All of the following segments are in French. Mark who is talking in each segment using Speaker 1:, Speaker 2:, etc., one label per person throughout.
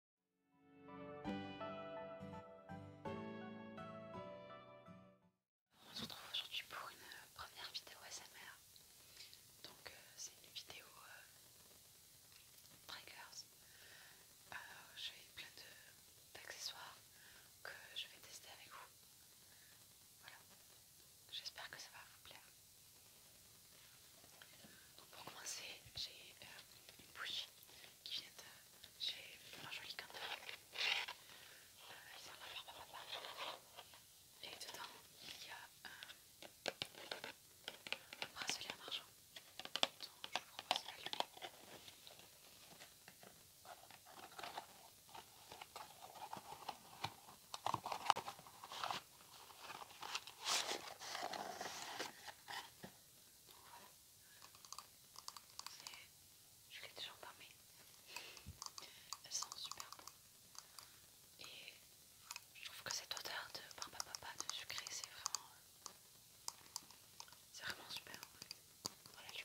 Speaker 1: On se retrouve aujourd'hui pour une euh, première vidéo SMR. Donc euh, c'est une vidéo triggers. Euh, j'ai plein d'accessoires que je vais tester avec vous. Voilà. J'espère que ça va vous plaire pour commencer, j'ai euh, une bougie qui vient de chez Marjorie Cantin. Euh, ils sont là, et dedans, il y a un bracelet en argent dont je vous propose d'allumer. Voilà. Donc voilà. Je l'ai déjà pas mais elles sont super bon Et je trouve que cette odeur de papa papa de sucré c'est vraiment c'est vraiment super en Voilà je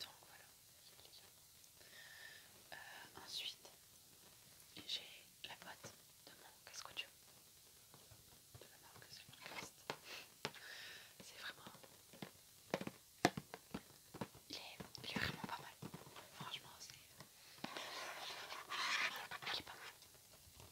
Speaker 1: Donc voilà, euh, ensuite j'ai la boîte de mon casque audio de la marque C'est vraiment. Il est, il est vraiment pas mal. Franchement, c'est. Il est pas mal.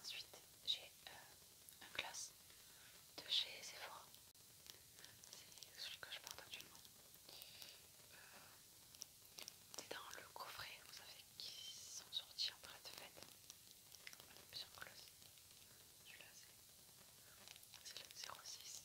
Speaker 1: Ensuite, j'ai euh, un gloss de chez Sephora. C'est celui que je porte actuellement. Euh, c'est dans le coffret, vous savez, qui sont sortis en train de fête. plusieurs gloss. Celui-là, c'est le 06.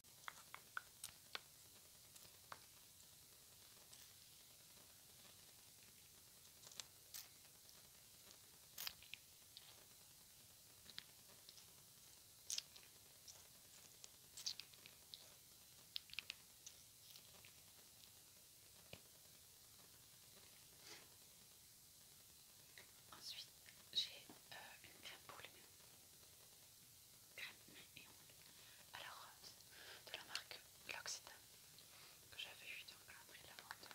Speaker 1: Ensuite, j'ai euh, une crème pour les mains crème et ongles à euh, de la marque L'Occitane que j'avais eu dans le calendrier de la vente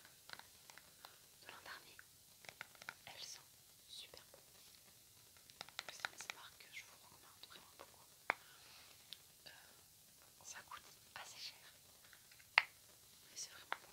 Speaker 1: de l'an dernier. Elles sont super bonnes. C'est une marque que je vous recommande vraiment beaucoup. Euh, ça coûte assez cher, mais c'est vraiment bon.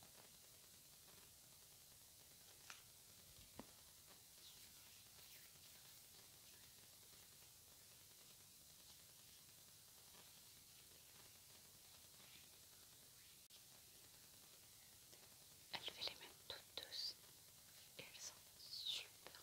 Speaker 1: Elle fait les mains toutes douces elles sont super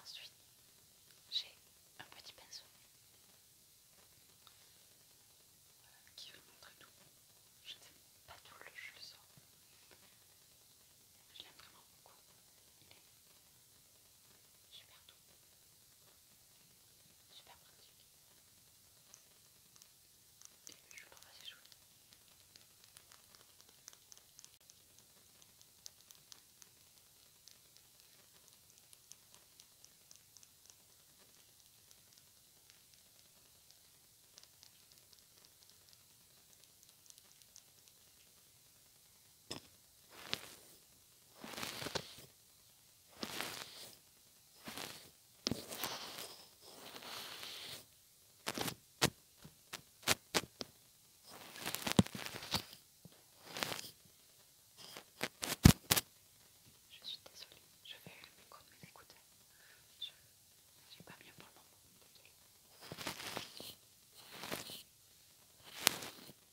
Speaker 1: Ensuite, j'ai un petit pinceau qui veut montrer tout. Je ne sais pas tout le je le sors. Je l'aime vraiment beaucoup. Super doux. Super pratique. Et je trouve assez chouette. Je suis désolée, je vais le micro de mes Je suis pas bien pour le moment.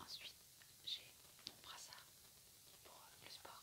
Speaker 1: Ensuite, j'ai mon brassard pour euh, le sport.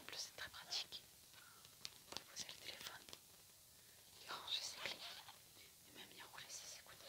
Speaker 1: En plus, c'est très pratique. Vous posez le téléphone, y ranger ses clés et même y rouler ses écouteurs.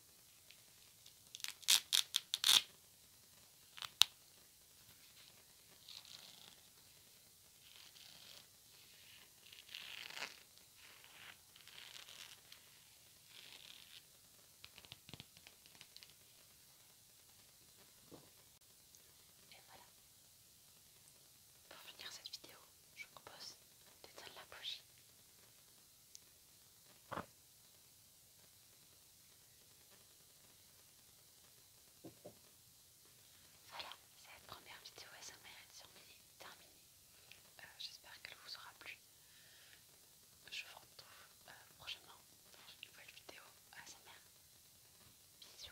Speaker 1: Et voilà. Pour finir cette vidéo, je vous propose d'éteindre la bougie. Voilà, cette première vidéo à sa mère est terminée. Euh, j'espère qu'elle vous aura plu. Je vous retrouve euh, prochainement dans une nouvelle vidéo ASMR. Bisous